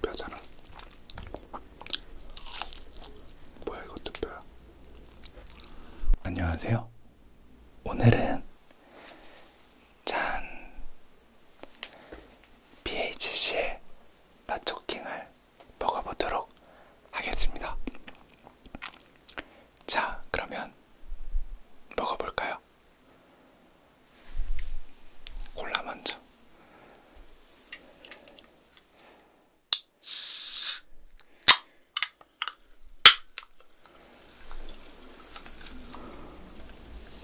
뼈잖아. 뭐야 이것도 뼈야. 안녕하세요. 오늘은 짠 BHC의 맛초킹을 먹어보도록 하겠습니다. 자, 그러면 먹어볼까요? 콜라 먼저.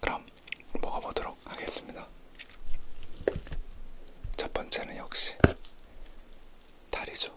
그럼 먹어보도록 하겠습니다. 첫 번째는 역시 다리죠.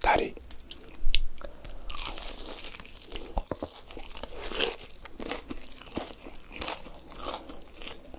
다리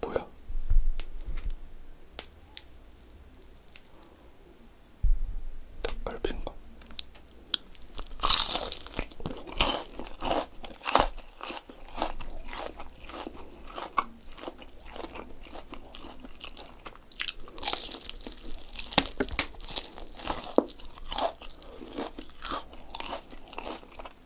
뭐야? 닭갈비인가?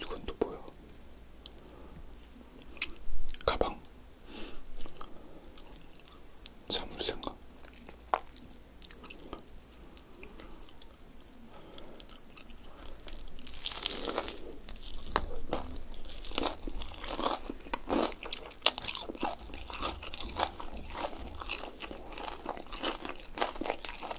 이건 또 뭐야? 가방. 자물쇠인가?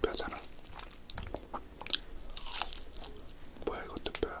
뼈잖아. 뭐야 이것도 뼈야.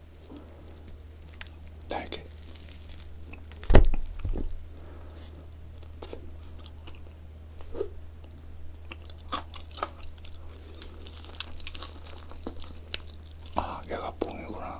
달게. 아, 얘가 뽕이구나.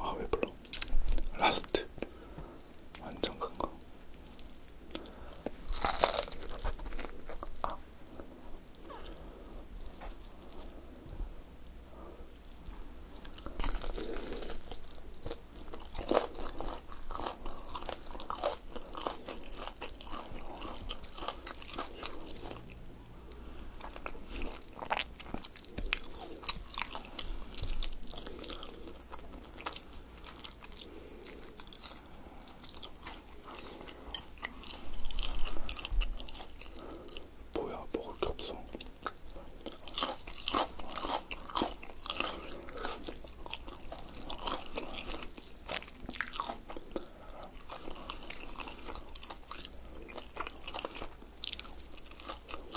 아, 왜 불러? 라스트 완전 큰 거. 아. 뭐야 먹을 게 없어.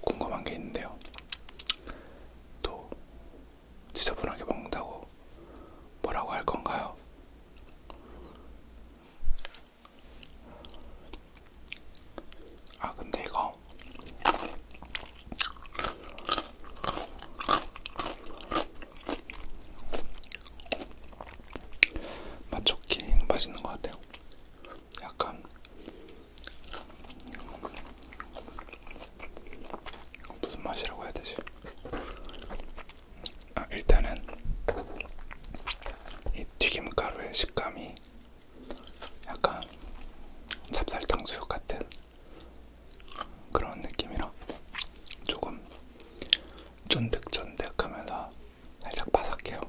궁금한 게 있는데요. 또 지저분하게 먹는다고 뭐라고 할 건가요? 아 근데 이거 맛 좋긴 맛있는 것 같아요. 약간 무슨 맛이라고 해야 되지? 아, 일단은 이 튀김가루의 식감이 약간 찹쌀탕수육 같은 그런 느낌이라 조금 쫀득쫀득하면서 살짝 바삭해요.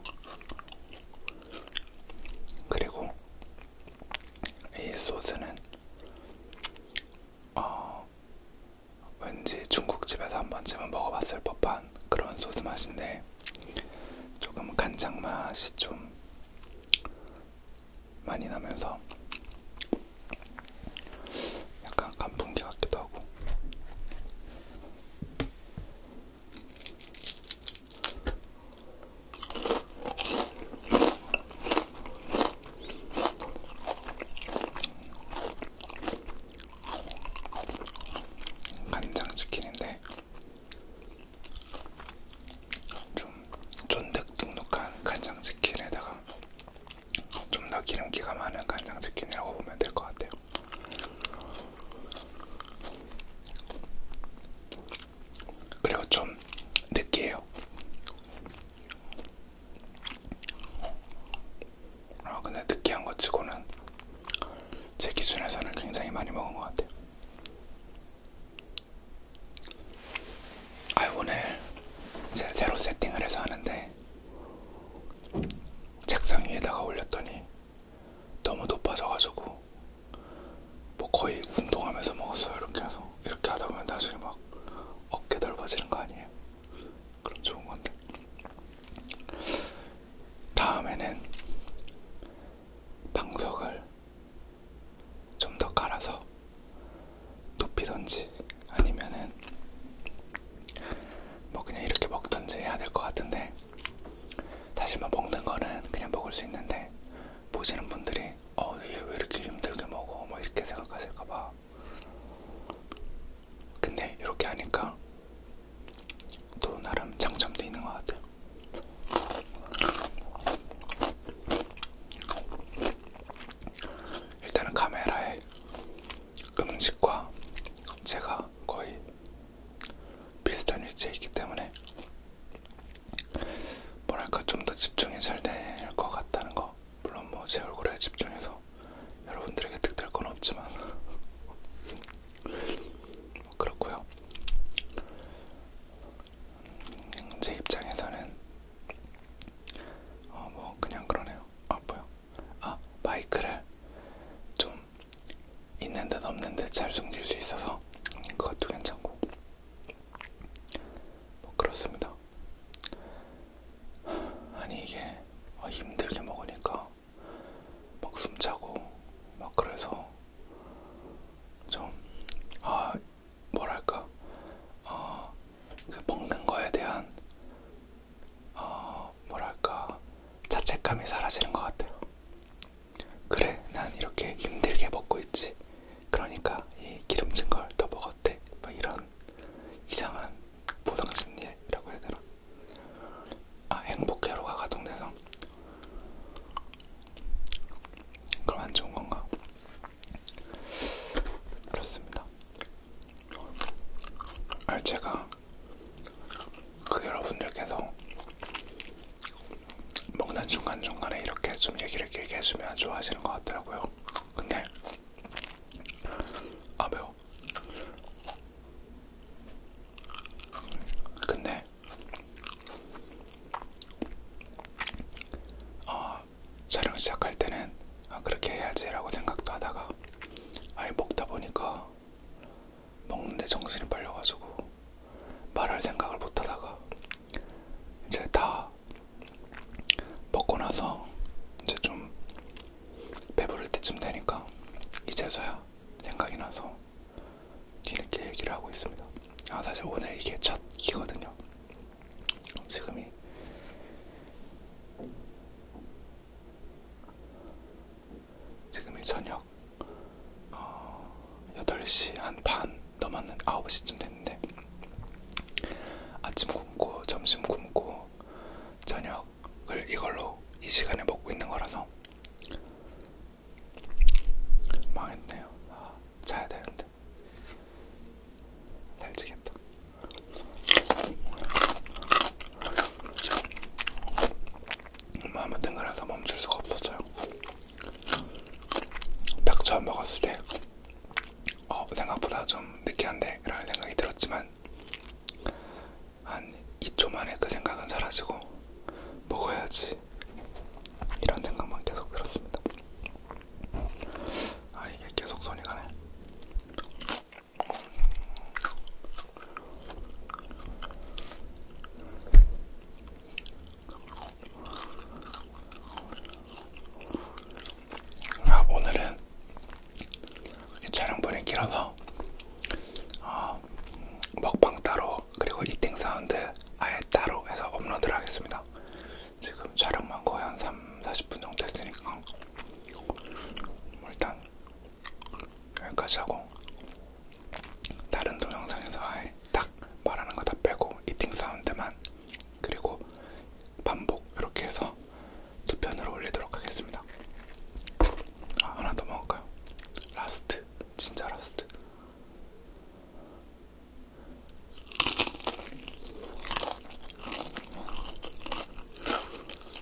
그리고 이 소스는 어, 왠지 중국집에서 한 번쯤은 먹어봤을 법한 그런 소스 맛인데 조금 간장 맛이 좀 많이 나면서 약간 간풍기 같기도 하고 간장치킨인데 좀 쫀득쫀득한 간장치킨에다가 좀 더 기름기가 많은 간장치킨이라고 보면 될 것 같아요. 그리고 좀 느끼해요. 아 근데 느끼한 것 치고는 제 기준에서는 굉장히 많이 먹은 것 같아요. 아 오늘 제가 제로 세팅을 해서 하는데 책상 위에다가 올렸더니 너무 높아져가지고 뭐 거의 운동하면서 먹었어요 이렇게 해서 이렇게 하다보면 나중에 막 어깨 넓어지는 거 아니에요? 그럼 좋은 건데 다음에는 방석을 좀 더 깔아서 높이던지 아니면은 뭐 그냥 이렇게 먹던지 해야 될 것 같은데 사실 뭐 먹는 거는 그냥 먹을 수 있는데 보시는 분들이 어, 얘왜 이렇게 힘들게 먹어? 뭐 이렇게 생각하실까봐. 근데 이렇게 하니까 또 나름 장점도 있는 것 같아요. 일단은 카메라에 음식과 제가 거의 비슷한 위치에 있기 때문에 뭐랄까 좀 더 집중이 잘 될 것 같다는 거 물론 뭐 제 얼굴에 집중해서 여러분들에게 득될 건 없지만 뭐 그렇고요. 음, 제 입장에서는 어 뭐 그냥 그러네요. 아 뭐요? 아 마이크를 좀 있는 듯 없는 듯잘 숨길 수 있어서 그것도 괜찮고 뭐 그렇습니다. 아니 이게 어, 힘들게 먹으니까 막 숨차고 막 그래서 좀아 뭐랄까 어, 그 먹는 거에 대한 어, 뭐랄까 자책감이 사라지는 것 같아요. 그래, 난 이렇게 힘들게 먹고 있지. 그러니까 이 기름진 걸 더 먹었대. 막 뭐 이런 이상한 보상심리라고 해야 되나? 아, 행복회로가 가동돼서 그럼 안 좋은 건가? 그렇습니다. 아, 제가 그 여러분들께서 먹는 중간중간에 이렇게 좀 얘기를 길게 해주면 좋아하시는 것 같더라고요. 근데 아 매워. 근데 어, 촬영 시작할 때는 아, 그렇게 해야지라고 생각도 하다가 아예 먹다 보니까 먹는데 정신이 팔려가지고 말할 생각을 못하다가 이제 다 먹고 나서 이제 좀 배부를 때쯤 되니까 이제서야 생각이 나서 이렇게 얘기를 하고 있습니다. 아 사실 오늘 이게 첫 기거든요. 지금이 지금이 저녁 어, 8시 한 반 넘었는 9시쯤 됐는데 아침 굶고 점심 굶고 저녁을 이걸로 이 시간에 먹고 있는 거라서 망했네요. 아, 자야 되는데 살찌겠다. 마음의 탱글에서 멈출 수가 없었어요. 딱 처음 먹었을 때 어, 생각보다 좀 느끼한데? 라는 생각이 들었지만 한 2초 만에 그 생각은 사라지고 먹어야지 이런 생각만 계속 들었습니다. 아 이게 계속 손이 가네. 아, 오늘은 촬영분이 길어서 어, 먹방 따로 그리고 이팅 사운드 아예 따로 해서 업로드를 하겠습니다. 지금 촬영만 거의 한 3, 40분 정도 했으니까 일단 여기까지 하고 다른 동영상에서 아예 딱 말하는 거 다 빼고 이팅 사운드만 그리고 반복 이렇게 해서 두 편으로 올리도록 하겠습니다. 아, 하나 더 먹을까요? 라스트 진짜 라스트.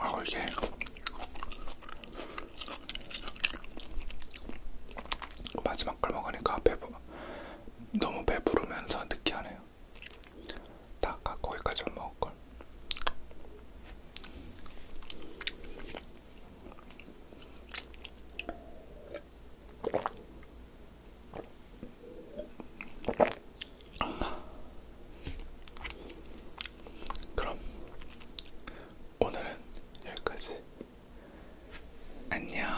아 이게 마지막 걸 먹으니까 배부 너무 배부르면서 느끼하네요. 있어요. 다 아까 거기까지 먹을걸. 그럼 오늘은 여기까지. 안녕.